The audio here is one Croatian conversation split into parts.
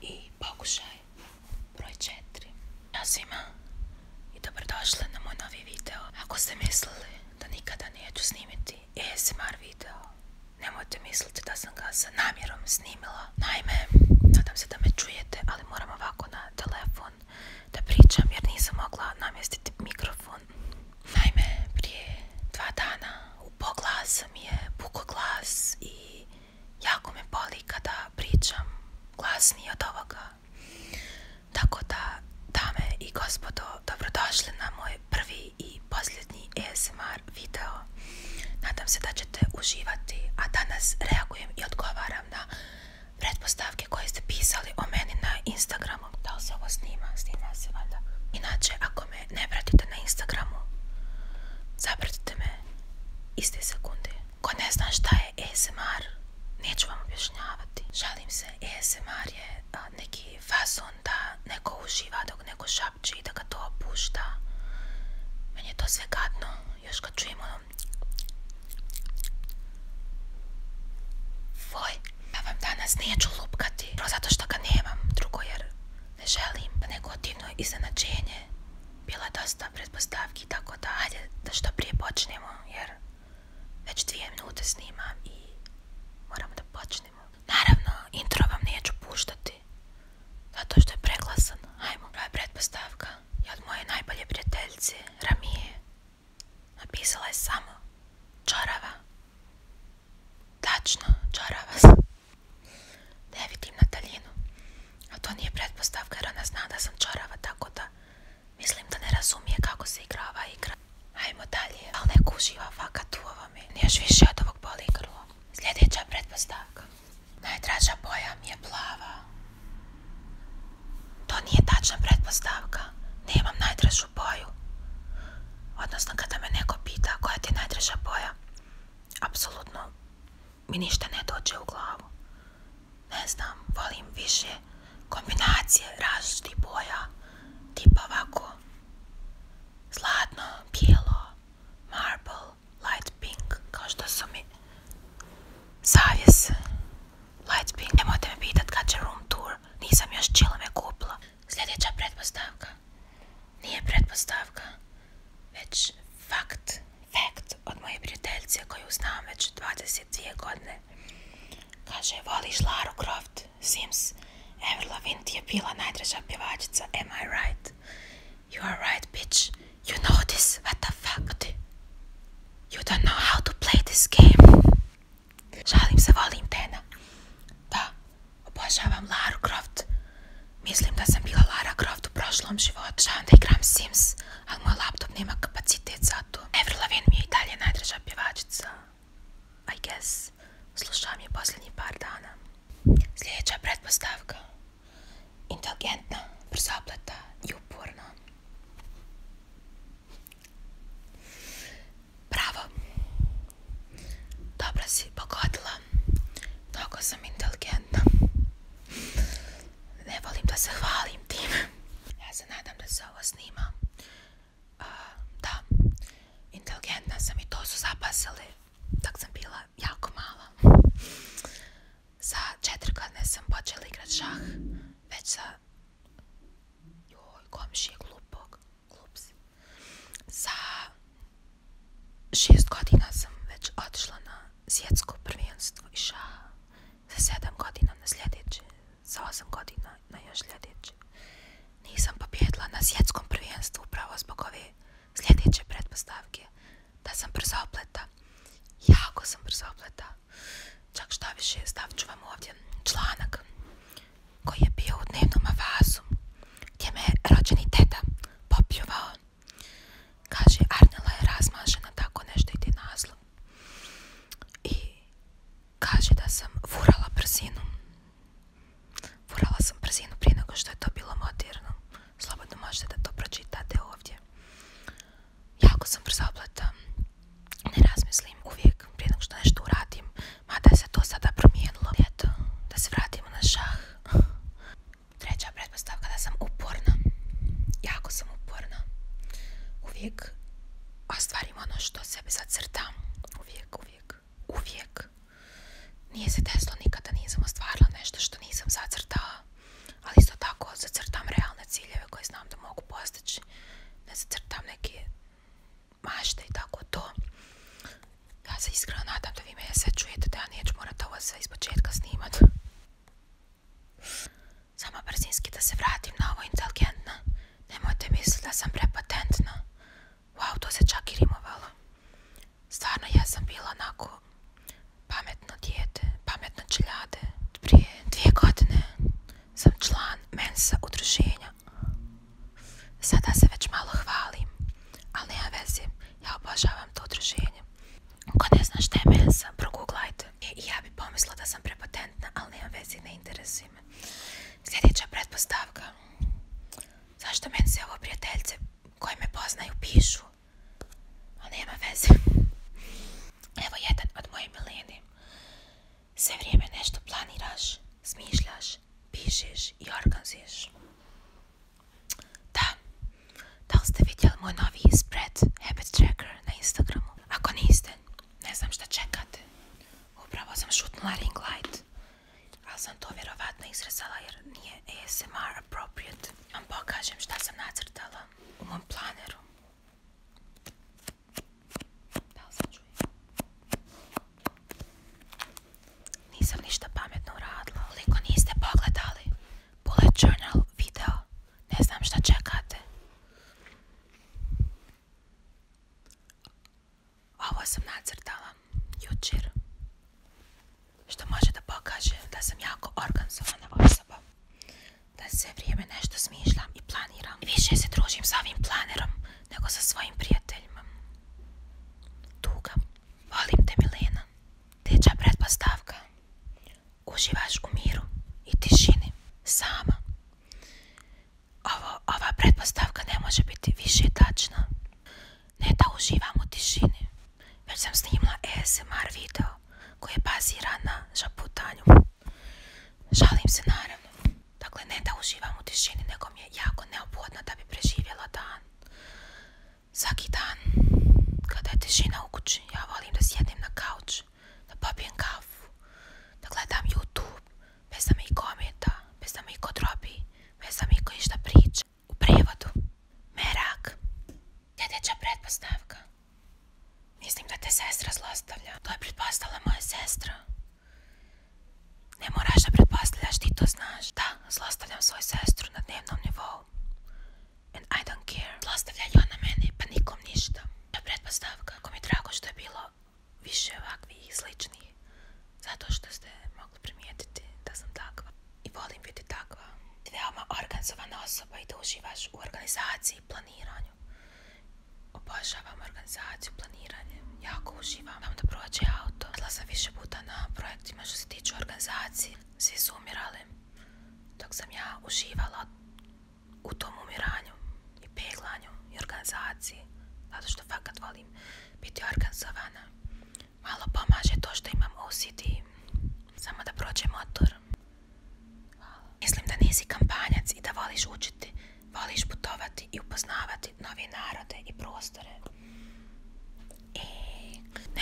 i pokušaj broj 4 Ja svima i dobrodošli na moj novi video Ako ste mislili da nikada neću snimiti ASMR video Nemojte misliti da sam ga sa namjerom snimila Naime, nadam se da me čujete, ali moram ovako na telefon da pričam jer nisam mogla namjestiti mikrofon Naime, prije dva dana u glas mi je puko glas i jako me boli kada pričam glasnije od ovoga. Tako da, dame i gospodo, dobrodošli na moj prvi i posljednji ASMR video. Nadam se da ćete uživati, a danas reagujem i odgovaram na pretpostavke koje ste pisali o meni na Instagramu. Da li se ovo snima? Snima se valjda. Inače, ako me ne pratite na Instagramu, zapratite me iste sekunde. Ko ne zna šta je ASMR, neću vam objašnjavati. Žalim se, ASMR je neki fazon da neko uživa dok neko šapči i da ga to opušta. Meni je to sve gadno, još kad čujem ono... ja vam danas neću lupkati, prvo zato što ga nemam, drugo jer ne želim da negativno iznenađenje bilo je dosta pretpostavki tako da hajde da što prije počnemo jer već dvije minute snimam i moramo da počnemo naravno intro vam neću puštati zato što je preglasan hajmo je predpostavka je od moje najbolje prijateljice Ramije napisala je samo čorava tačno čorava ne vidim na daljinu, a to nije pretpostavka jer ona zna da sam čarava, tako da mislim da ne razumije kako se igrava igra. Ajmo dalje, ali neko uživa fakat u ovome, još više od ovog boli grlo. Sljedeća pretpostavka. Najdraža boja mi je plava. To nije tačna pretpostavka, nemam najdražu boju. Odnosno kada me neko pita koja ti je najdraža boja, apsolutno mi ništa ne dođe u glavu. Ne znam, volim više kombinacije različitih boja, tipa ovako, zlatno, bijelo, marble, light pink, kao što su mi zavijes, light pink. Nemojte me pitat kad će room tour, nisam još čila me kupila. Sljedeća pretpostavka. nije pretpostavka, već fakt, fakt od moje prijateljice koju znam već 22 godine. Kaže, voliš Laru Croft, Sims, Everlovin je bila najdraža pjevačica, am I right? You are right, bitch. You know this, what the fuck? You don't know how to play this game. Žalim se, volim Tena. Da, Obožavam Lara Croft. Mislim da sam bila Lara Croft u prošlom životu. Žavam da igram Sims, ali moj laptop nema kapacitet za to. Avril Lavigne mi je i dalje najdraža pjevačica. I guess. Slušam je posljednji par dana. Sljedeća pretpostavka. Inteligentna, brzopleta i uporna. Bravo. Dobro si pogodila. Mnogo sam inteligentna. Ne volim da se hvalim tim. Ja se nadam da se ovo snima. da, inteligentna sam i to su zapasili. Tak sam bila jako mala. za četiri godine sam počela igrati šah. Već sa... Joj, komšije glupog glup Za šest godina sam već otišla na svjetsko prvenstvo i Za sedam godina na sljedeće, za osam godina na još sljedeće. Nisam pobjedila na svjetskom prvenstvu upravo zbog ove sljedeće pretpostavke. Da sam brzo opleta. Jako sam brzo opleta. Čak šta više, stavit ću vam ovdje članak koji je bio u dnevnom avazu, gdje me rođeni teta popljuvao. Kaže, Arnela je razmažena, tako nešto ide nazlo. I kaže da sam furala brzinu. vurala sam brzinu prije nego što je to bilo moderno. Slobodno možete da to pročitate ovdje. Jako sam brzopleta. Ne razmislim uvijek prije nego što nešto uradim. Ma da se to sada promijenilo. Eto, da se vratimo na šah. Treća pretpostavka da sam uporna. Jako sam uporna. Uvijek ostvarim ono što sebe zacrtam. Uvijek, uvijek, uvijek. Nije se desilo nikada, nisam ostvarila nešto što nisam zacrtala. Ali isto tako zacrtam realne ciljeve koje znam da mogu postići. Ne zacrtam neke mašte i tako to. Ja se iskreno nadam da vi me sve čujete, da ja neću morati ovo sve iz početka snimat. Samo brzinski da se vratim na ovo inteligentno. Nemojte misliti da sam prepatentna. Wow, to se čak i rimovalo. Stvarno ja sam bila onako pametno dijete, pametno čeljade. Prije dvije godine sam član mensa udruženja Sada se već malo hvalim, ali nema veze, ja obožavam to druženje. Ko ne zna šta je mensa, Progooglajte e, I ja bi pomislila da sam prepotentna, ali nema veze, ne interesuje me. Sljedeća pretpostavka. Zašto meni se ovo prijateljce koje me poznaju pišu? Ali nema veze. Evo jedan od moje milene. Sve vrijeme nešto planiraš, smišljaš, Pišeš i organizuješ. Da, da li ste vidjeli moj novi spread Habit Tracker na Instagramu? Ako niste, ne znam šta čekate. Upravo sam šutnula ring light, ali sam to vjerovatno izrezala jer nije ASMR appropriate. Vam pokažem šta sam nacrtala u mom planeru. Da nisam ništa pametno radila. koliko niste pogledali. Bullet journal video. Ne znam šta čekate. Ovo sam nacrtala. Jučer. Što može da pokaže da sam jako organizovana osoba. Da se vrijeme nešto smišljam i planiram. više se družim sa ovim planerom nego sa svojim prijateljima. Tuga, volim te Milena, teča pretpostavka. Uživaš u miru i tišini, sama. ova pretpostavka ne može biti više tačna. Ne da uživam u tišini, već sam snimla ASMR video koji je baziran na žaputanju. Žalim se naravno. Dakle, ne da uživam u tišini, nego mi je jako neophodno da bi preživjela dan. Svaki dan, kada je tišina u kući, ja volim da sjedim na kauč, da popijem kafu, da gledam YouTube, bez da mi i ometa, bez da mi i kodrobi, bez da mi išta priča. U prevodu, merak, djedeća pretpostavka. Mislim da te sestra zlostavlja. To je pretpostavila moja sestra. Ne moraš da pretpostavljaš, ti to znaš. Da, zlostavljam svoju sestru na dnevnom nivou. And I don't care. Zlostavlja na mene, pa nikom ništa. To je pretpostavka. Ako mi je drago što je bilo više ovakvih i sličnih. Zato što ste mogli primijetiti da sam takva. I volim biti takva. Ti veoma organizovana osoba i da uživaš u organizaciji i planiranju. Obožavam organizaciju, planiranje, jako uživam. da prođe auto. Odla sam više puta na projektima što se tiče organizacije. Svi su umirali dok sam ja uživala u tom umiranju i peglanju i organizaciji. Zato što fakat volim biti organizovana. Malo pomaže to što imam OCD. Samo da prođe motor. Mislim da nisi kampanjac i da voliš učiti. Voliš putovati i upoznavati Novi narode i prostore. I e,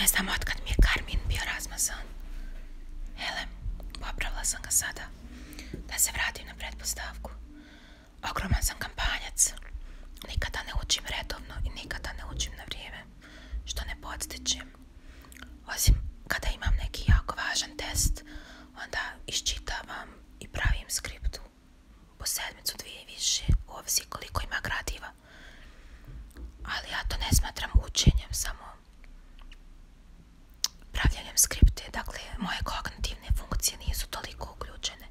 ne znam otkad mi je Karmin bio razmazan. Hele, popravila sam ga sada. Da se vratim na pretpostavku. Ogroman sam kampanjac. Nikada ne učim redovno i nikada ne učim na vrijeme. Što ne podstičem. Osim kada imam neki jako važan test, onda iščitavam i pravim skriptu po sedmicu, dvije i više, ovisi koliko ima gradiva. Ali ja to ne smatram učenjem, samo pravljanjem skripte. Dakle, moje kognitivne funkcije nisu toliko uključene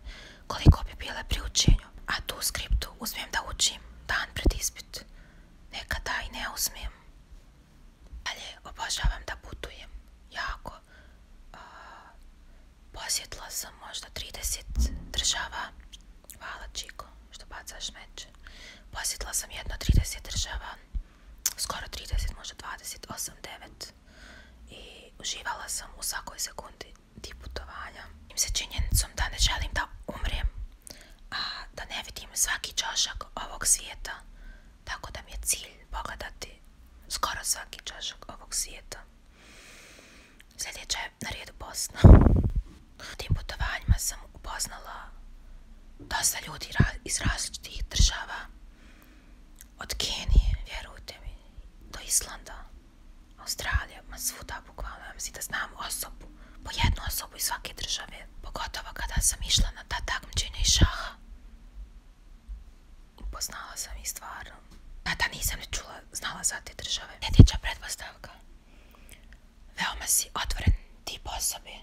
koliko bi bile pri učenju. A tu skriptu uzmem da učim dan pred ispit. Nekada i ne uzmem. Dalje, obožavam da putujem. Jako. Posjetila sam možda 30 država. Hvala Čiko što bacaš meč. Posjetila sam jedno 30 država. Skoro 30, možda 28, 9. I uživala sam u svakoj sekundi ti putovanja. Im se činjenicom da ne želim da umrem, a da ne vidim svaki čošak ovog svijeta. Tako da mi je cilj pogledati skoro svaki čašak ovog svijeta. Sljedeća je na redu Bosna. U tim putovanjima sam upoznala dosta ljudi iz različitih država. Od Kenije, vjerujte mi, do Islanda, Australija, ma svuda bukvalno. mislim da znam osobu, po jednu osobu iz svake države. Pogotovo kada sam išla na ta takmičenja i šaha. Poznala sam i stvarno. da nisam ne čula, znala za te države. Sljedeća pretpostavka. Veoma si otvoren ti osobe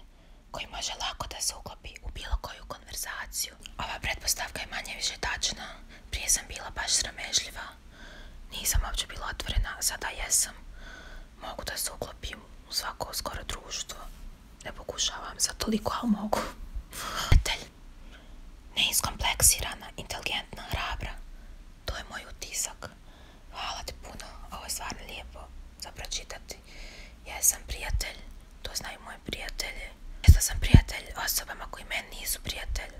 koji može lako da se uklopi u bilo koju konverzaciju. Ova pretpostavka je manje više tačna. Prije sam bila baš sramežljiva. Nisam uopće bila otvorena, sada jesam. Mogu da se uklopim u svako skoro društvo ne pokušavam za toliko, ali mogu. Prijatelj, neiskompleksirana, inteligentna, hrabra. To je moj utisak. Hvala ti puno, ovo je stvarno lijepo za pročitati. Ja sam prijatelj, to znaju moji prijatelji. Ja sam prijatelj osobama koji meni nisu prijatelj.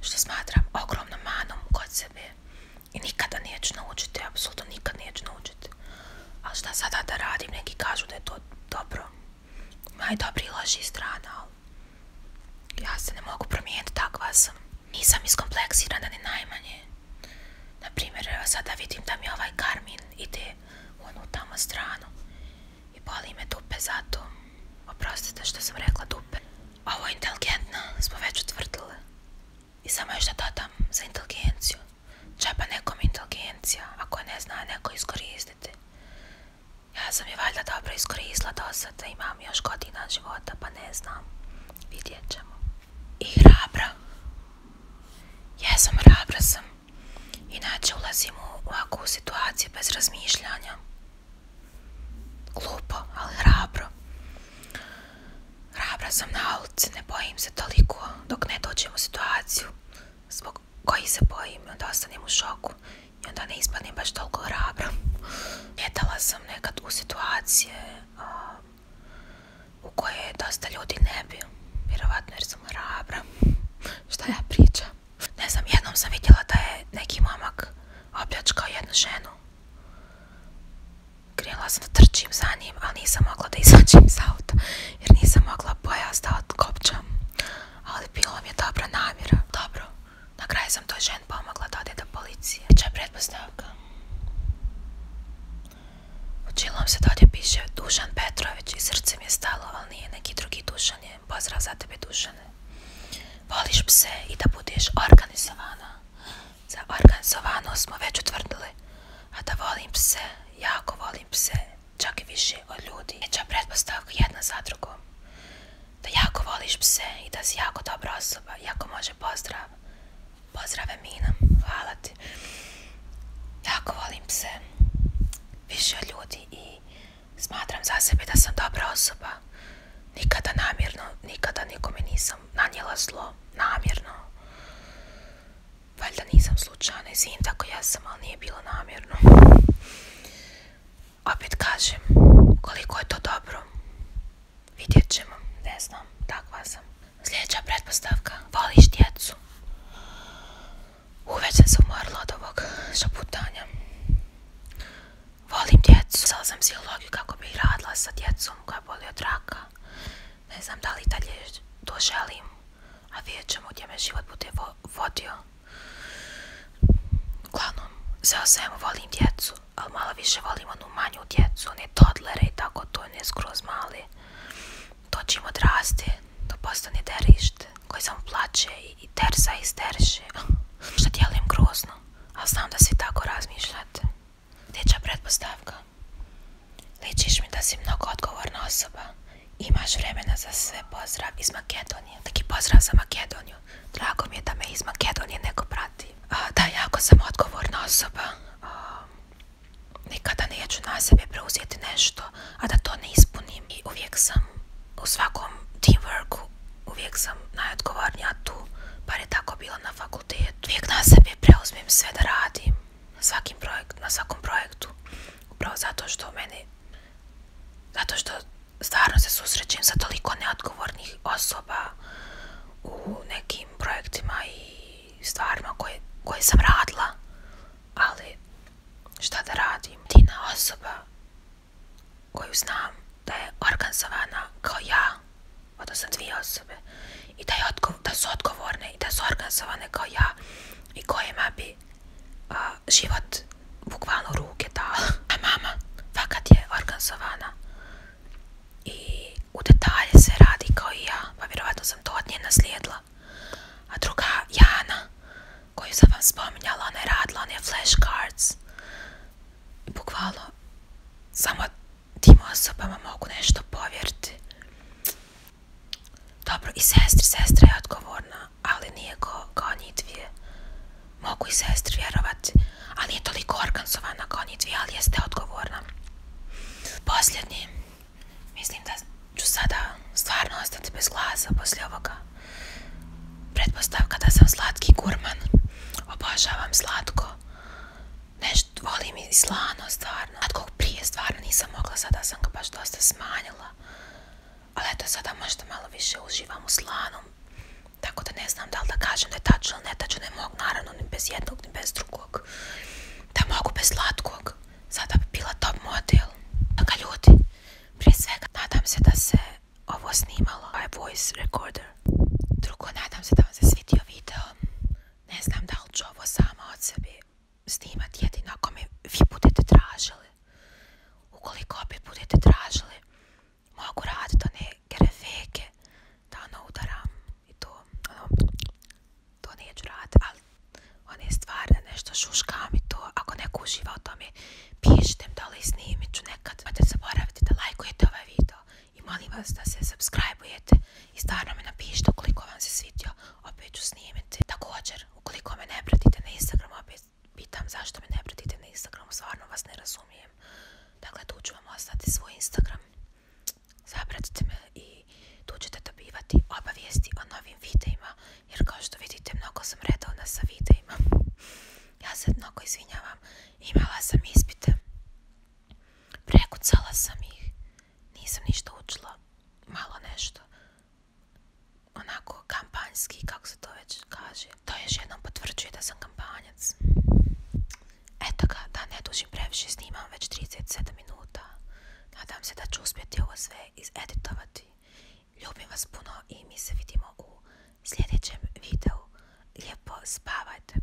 Što smatram ogromnom manom kod sebe. I nikada neću naučiti, apsolutno nije ću naučiti. Ali šta sada da radim, neki kažu da je to dobro i loši strana, ali ja se ne mogu promijeniti, takva sam. Nisam iskompleksirana ni najmanje. Naprimjer, sada vidim da mi ovaj Karmin ide u onu tamo stranu i boli me dupe zato. Oprostite što sam rekla dupe. Ovo je inteligentno, smo već utvrdile. I samo još da dodam za inteligenciju. Čepa nekom inteligencija, ako ne zna neko iskoristiti. Ja sam je valjda dobro iskoristila do sada, imam još godina života, pa ne znam. Vidjet ćemo. I hrabra. Jesam, hrabra sam. Inače ulazim u ovakvu situaciju bez razmišljanja. Glupo, ali hrabro. Hrabra sam na ulici, ne bojim se toliko dok ne dođem u situaciju zbog koji se bojim, da ostanem u šoku i onda ne ispadnem baš toliko hrabra. Ljetala sam nekad u situacije u koje dosta ljudi ne bi, vjerovatno jer sam hrabra. Šta ja pričam? Ne znam, jednom sam vidjela da je neki momak opljačkao jednu ženu. Grijela sam da trčim za njim, ali nisam mogla da izađem iz auta jer nisam mogla pojas da Ali bilo mi je dobra namjera. Dobro, na kraju sam toj žen pomogla da do policije. predpostavka. U Učilom se dolje piše Dušan Petrović i srce mi je stalo, ali nije neki drugi Dušan je. Pozdrav za tebe Dušane. Voliš pse i da budeš organizovana. Za organizovano smo već utvrdili. A da volim pse, jako volim pse čak i više od ljudi. Veća pretpostavka jedna za drugom. Da jako voliš pse i da si jako dobra osoba. Jako može pozdrav. Pozdrave Mina. Hvala ti. Jako volim pse. Više od ljudi i smatram za sebe da sam dobra osoba. Nikada namjerno, nikada nikome nisam nanijela zlo. Namjerno. Valjda nisam slučajno izvin, tako ja sam, ali nije bilo namjerno. Opet kažem, koliko je to dobro, vidjet ćemo, ne znam, takva sam. Sljedeća pretpostavka, voliš djecu. Uveć sam se umorila od ovog šaputanja. Volim djecu. Sada sam si kako bi radila sa djecom koja boli od raka. Ne znam da li dalje to želim, a vidjet ćemo gdje me život bude vodio. Uglavnom, sve o volim djecu, ali malo više volim onu manju djecu, ne totlere i tako to, ne skroz mali. To čim odrasti, to postane derište, koji sam plaće i tersa i sterše. Što dijelim grozno, ali znam da svi tako razmišljate. Dječja pretpostavka. Ličiš mi da si mnogo odgovorna osoba. Imaš vremena za sve pozdrav iz Makedonije. Taki pozdrav za Makedoniju. Drago mi je da me iz Makedonije neko prati. da, jako sam odgovorna osoba. nikada neću na sebe preuzeti nešto, a da to ne ispunim. I uvijek sam u svakom teamworku, uvijek sam najodgovornija tu. Bar je tako bilo na fakultetu. Uvijek na sebe preuzmem sve da radim svakim projekt, na svakom projektu. Upravo zato što meni, zato što stvarno se susrećem sa toliko neodgovornih osoba u nekim projektima i stvarima koje, sam radila, ali šta da radim? na osoba koju znam da je organizovana kao ja, odnosno dvije osobe i da je da su odgovorne i da su organizovane kao ja i kojima bi život bukvalno ruke dao A mama fakat je organizovana i u detalje se radi kao i ja, pa vjerovatno sam to od nje naslijedila. A druga Jana, koju sam vam spominjala, ona je radila je flashcards. I bukvalno samo tim osobama mogu nešto povjeriti. Dobro, i sestri, sestra je odgovorna, ali nije ko, kao njih dvije. Mogu i sestri vjerovati, ali je toliko organizovana kao njih dvije, ali jeste odgovorna. Posljednji, mislim da ću sada stvarno ostati bez glasa poslije ovoga. Pretpostavka da sam slatki gurman. Obožavam slatko nešto volim i slano stvarno. Od kog prije stvarno nisam mogla, sada sam ga baš dosta smanjila. Ali eto sada možda malo više uživam u slanom. Tako da ne znam da li da kažem da je tačno ili ne tačno, ne mogu naravno ni bez jednog ni bez drugog. Da mogu bez slatkog, sada bi bila top model. Tako ljudi, prije svega nadam se da se ovo snimalo, ovaj voice recorder. Drugo, nadam se da vam se svidio video ne znam da li ću ovo sama od sebi snimati, jedino ako mi vi budete tražili. Ukoliko opet budete tražili, mogu raditi one grefeke da ono udaram i to, ono, to neću raditi, ali one stvarno nešto šuškam i to, ako neko uživa o tome, pišite mi da li snimit ću nekad. Nemojte zaboraviti da lajkujete ovaj video, i molim vas da se subscribe-ujete i stvarno me napišite ukoliko vam se svidio, opet ću snimiti. Također, ukoliko me ne pratite na Instagram opet pitam zašto me ne pratite na Instagram stvarno vas ne razumijem. Dakle, tu ću vam ostati svoj Instagram, zapratite me i tu ćete dobivati obavijesti o novim videima, jer kao što vidite, mnogo sam redovna sa videima. Ja se mnogo izvinjavam, imala sam ispite, prekucala sam ih, nisam ništa učila, malo nešto. Onako kampanjski, kako se to već kaže. To još jednom potvrđuje da sam kampanjac. Eto ga, da ne dužim previše snimam već 37 minuta. Nadam se da ću uspjeti ovo sve izeditovati. Ljubim vas puno i mi se vidimo u sljedećem videu. Lijepo spavajte.